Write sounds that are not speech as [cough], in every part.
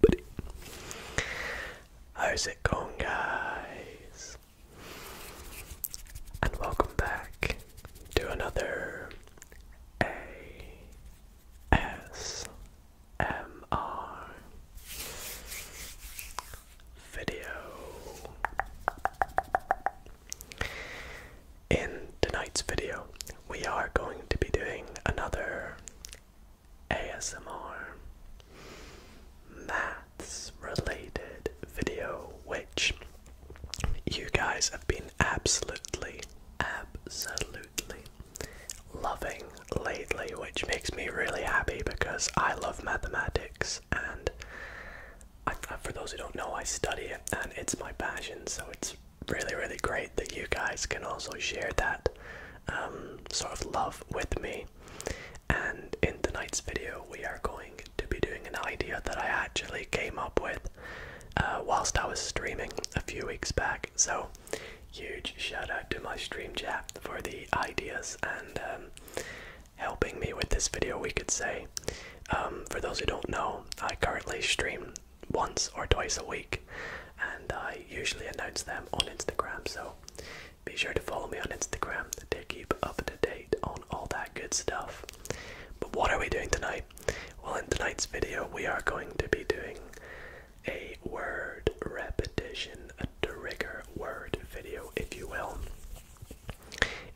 buddy. How's it going, guys? And welcome back to another ASMR video. In tonight's video, we are going to be doing another ASMR maths related video, which you guys have been absolutely, absolutely loving lately, which makes me really happy because I love mathematics and for those who don't know, I study it and it's my passion, so it's really, really great that you guys can also share that um, sort of love with me. And in tonight's video, we are going to be doing an idea that I actually came up with uh, whilst I was streaming a few weeks back. So, huge shout out to my stream chat for the ideas and um, helping me with this video, we could say. Um, for those who don't know, I currently stream once or twice a week, and I usually announce them on Instagram. So be sure to follow me on Instagram to keep up to date on all that good stuff. But what are we doing tonight? Well, in tonight's video, we are going to be doing a word repetition, a trigger word video, if you will.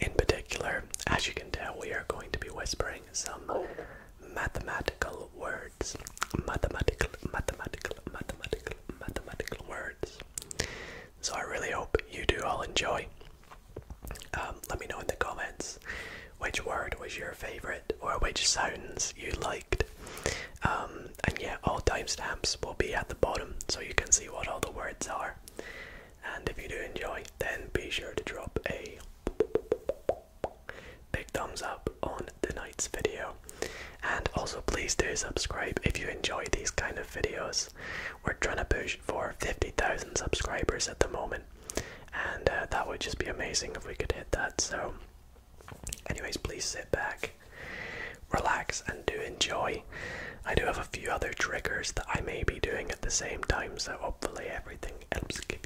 In particular, as you can tell, we are going to be whispering some mathematical words mathematical, mathematical, mathematical, mathematical words. So I really hope you do all enjoy. Um, let me know in the comments which word was your favorite or which sounds you liked. Um, and yeah, all timestamps will be at the bottom so you can see what all the words are. And if you do enjoy, then be sure to drop a big thumbs up on tonight's video. And also please do subscribe if you enjoy these kind of videos. We're trying to push for 50,000 subscribers at the moment. And uh, that would just be amazing if we could hit that. So anyways, please sit back, relax and do enjoy. I do have a few other triggers that I may be doing at the same time, so hopefully everything helps keep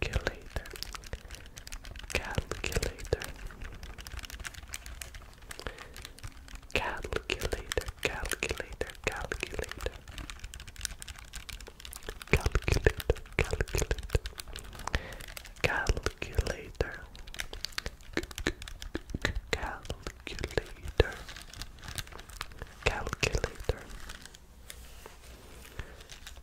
Calculator. Calculator. Calculator. Calculator. Calculator. Calculator. Calculator. Calculator. Calculator. Calculator.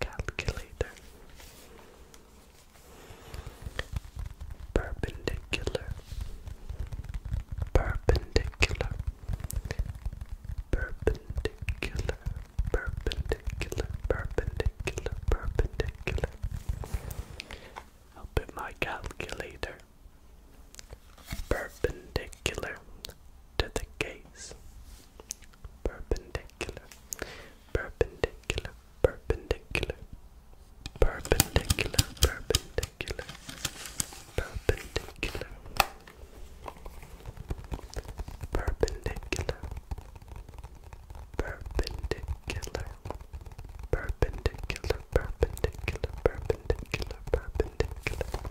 calculator. Perpendicular, perpendicular, perpendicular, perpendicular, perpendicular, perpendicular. I'll put my calculator perpendicular to the case. Perpendicular perpendicular, perpendicular, perpendicular, perpendicular, perpendicular, perpendicular, perpendicular, perpendicular, perpendicular, perpendicular, perpendicular. Perpendicular, perpendicular, perpendicular,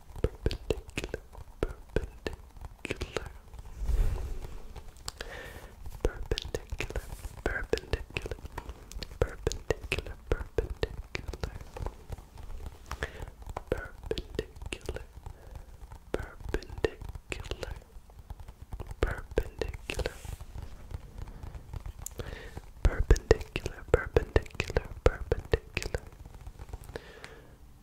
perpendicular, perpendicular, perpendicular, perpendicular, perpendicular, perpendicular, perpendicular, perpendicular, perpendicular. Perpendicular, perpendicular,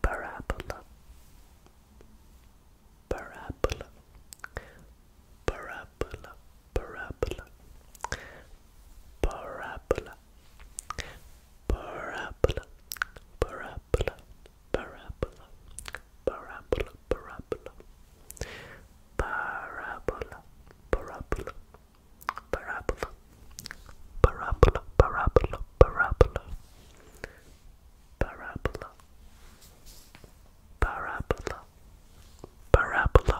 Parabola. Parabola. Parabola. Parabola. Parabola. Parabola. Parabola. Parabola. Parabola. Parabola. Parabola. Parabola. Parabola. Parabola. Parabola. Parabola. Parabola. Parabola. Parabola. Parabola. Parabola.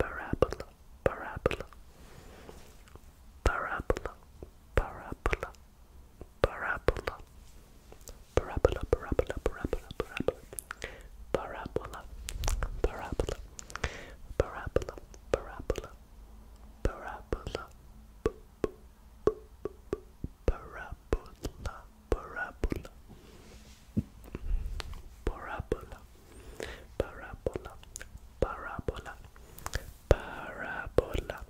Parabola. Parabola. Parabola. Parabola. Parabola. Parabola. Parabola. Parabola. Parabola. Parabola, parabola, parabola, b -b parabola, parabola, parabola, parabola, parabola, parabola, parabola,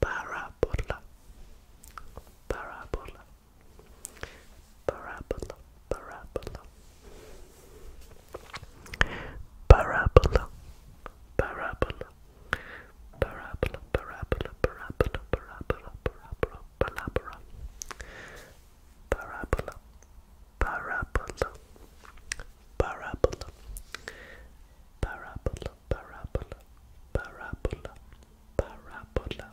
parabola, parabola, parabola. Parabola, parabola, parabola, parabola, parabola, parabola, parabola, parabola, parabola, parabola, parabola, parabola, parabola, parabola, parabola, parabola, parabola.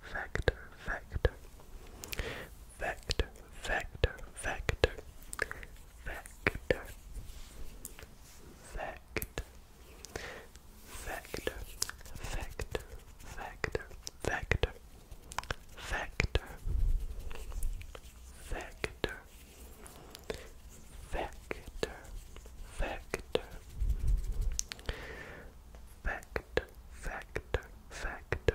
Factor. vector, vector, vector, vector, vector, vector, vector, vector, vector, vector, vector, vector, vector, vector. Vector,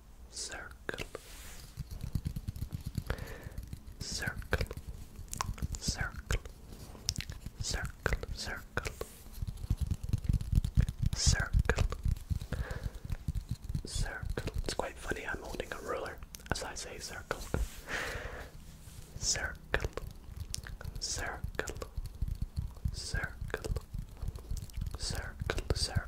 circle, circle, circle, circle, circle, circle, circle. It's quite funny, I'm holding a ruler as I say circle. Circle, circle, circle, circle, circle.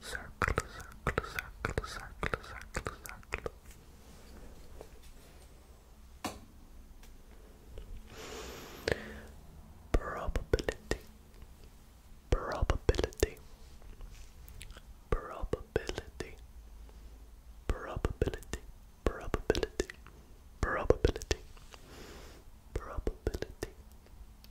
circle, circle, circle, circle, circle, circle. Probability, probability, probability, probability, probability, probability, probability,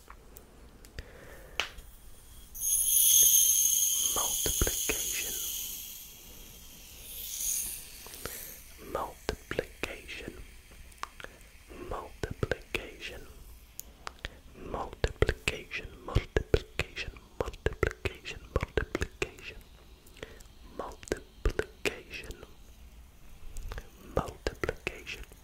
multiplication multiplication multiplication multiplication multiplication multiplication multiplication multiplication multiplication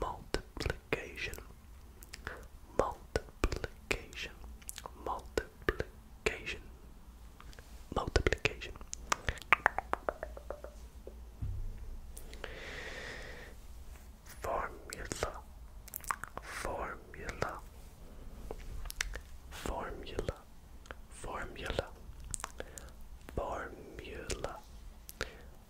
multiplication, multiplication, multiplication, multiplication. Formula, formula, formula, formula, formula,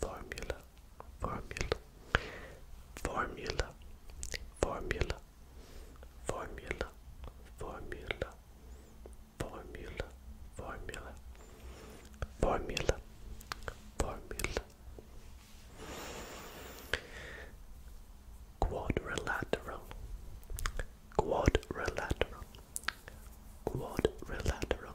formula, formula, formula, formula, formula, formula, formula, formula, formula, formula. Quadrilateral, quadrilateral, quadrilateral,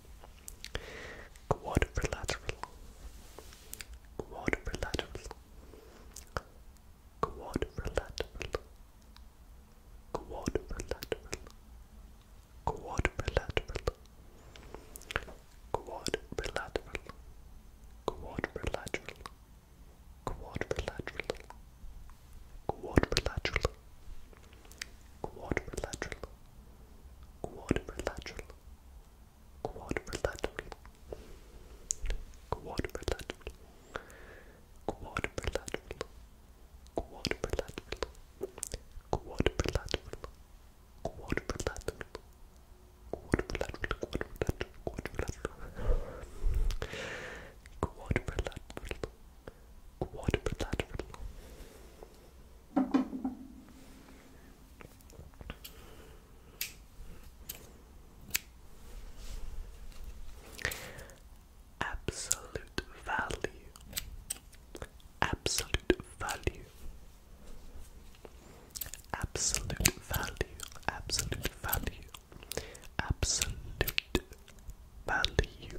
quadrilateral, quadrilateral, quadrilateral, quadrilateral, quadrilateral, quadrilateral, quadrilateral, quadrilateral, quadrilateral, quadrilateral, quadrilateral, quadrilateral, quadrilateral, quadrilateral, quadrilateral, quadrilateral, quadrilateral. Quadrilateral, quadrilateral, quadrilateral, quadrilateral, quadrilateral. Absolute value. Absolute value. Absolute value. Absolute value. Absolute value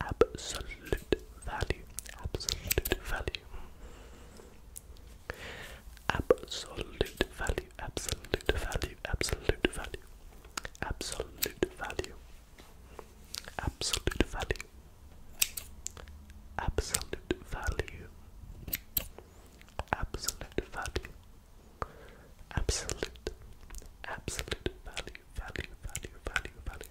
Absolute value. Absolute value. Absolute value. Absolute value. Absolute value. Absolute value. Absolute value. Absolute value. Absolute value. Absolute. Absolute value. Value. Value. Value. Value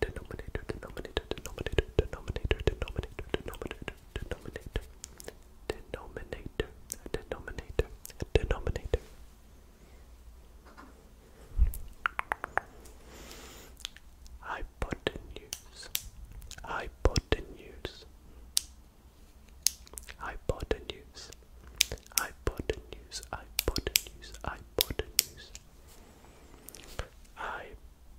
denominator, denominator, denominator, denominator, denominator, denominator, denominator, denominator, denominator, denominator. Hypotenuse, hypotenuse, hypotenuse, hypotenuse, hypotenuse, hypotenuse. Hypotenuse,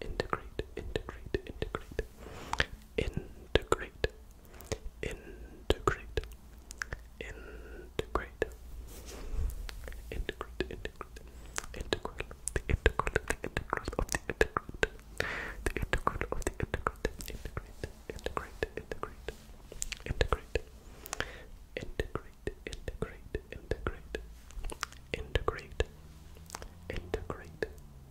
integrate, integrate, integrate, integrate, integrate, integrate, integrate, integrate, integrate, integral, the integral, the integral of the integrate, the integral of the integrate, integrate, integrate, integrate, integrate, integrate, integrate, integrate, integrate, integrate, integrate,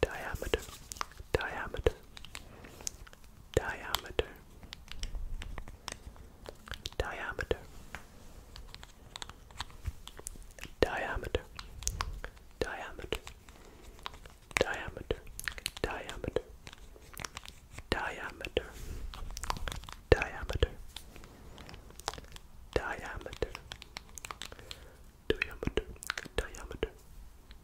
diameter, diameter, diameter, diameter, diameter, diameter, diameter, diameter, diameter, diameter, diameter, diameter, diameter,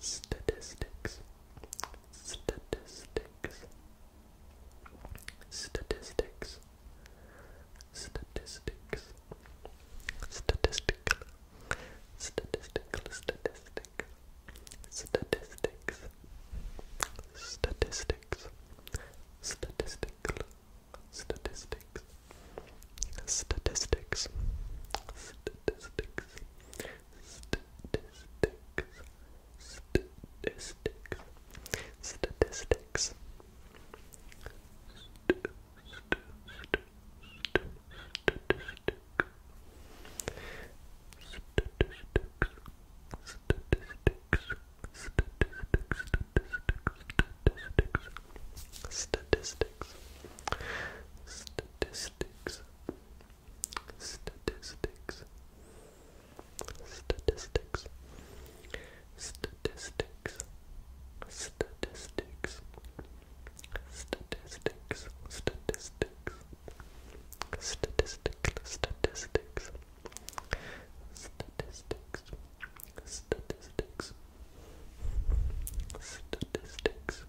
statistics, statistics, statistics, statistics, statistics, statistical, statistical, statistic, statistics, statistics, statistical, statistics. Statistics. Statistics. Statistics. Statistics. Statistics. Statistics. Statistics statistics, statistics, statistics, statistics, statistics, statistics, statistics, statistics. Statistics, statistics, statistics, statistics, Statistics.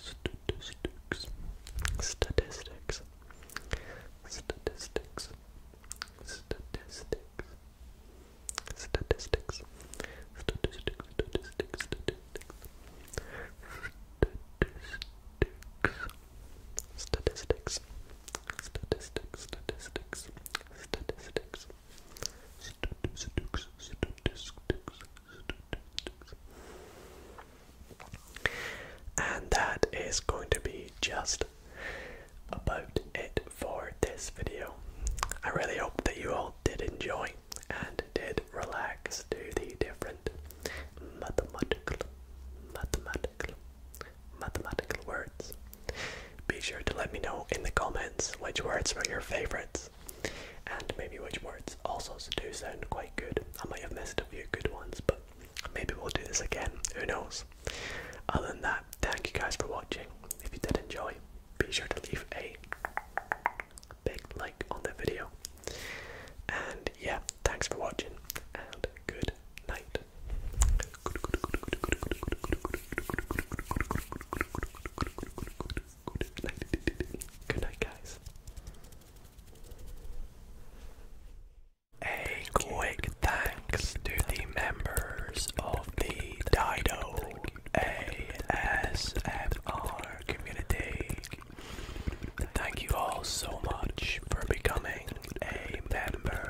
Statistics. Statistics. Statistics. Statistics. Statistics. Statistics. Statistics. Statistics. Statistics. Statistics. Statistics. Statistics. And that is going to be just about it for this video. I really hope that you all did enjoy and did relax to the different mathematical, mathematical, mathematical words. Be sure to let me know in the comments which words were your favorites and maybe which words also do sound quite good. I might have missed a few good ones, but maybe we'll do this again. Who knows? Other than that, thank you guys for watching. If you did enjoy, be sure to leave a big like on the video. And yeah, thanks for watching and good night. [laughs] Good night. guys. A quick thanks to the members of the Dido ASMR community. Thank you all so much for becoming a member.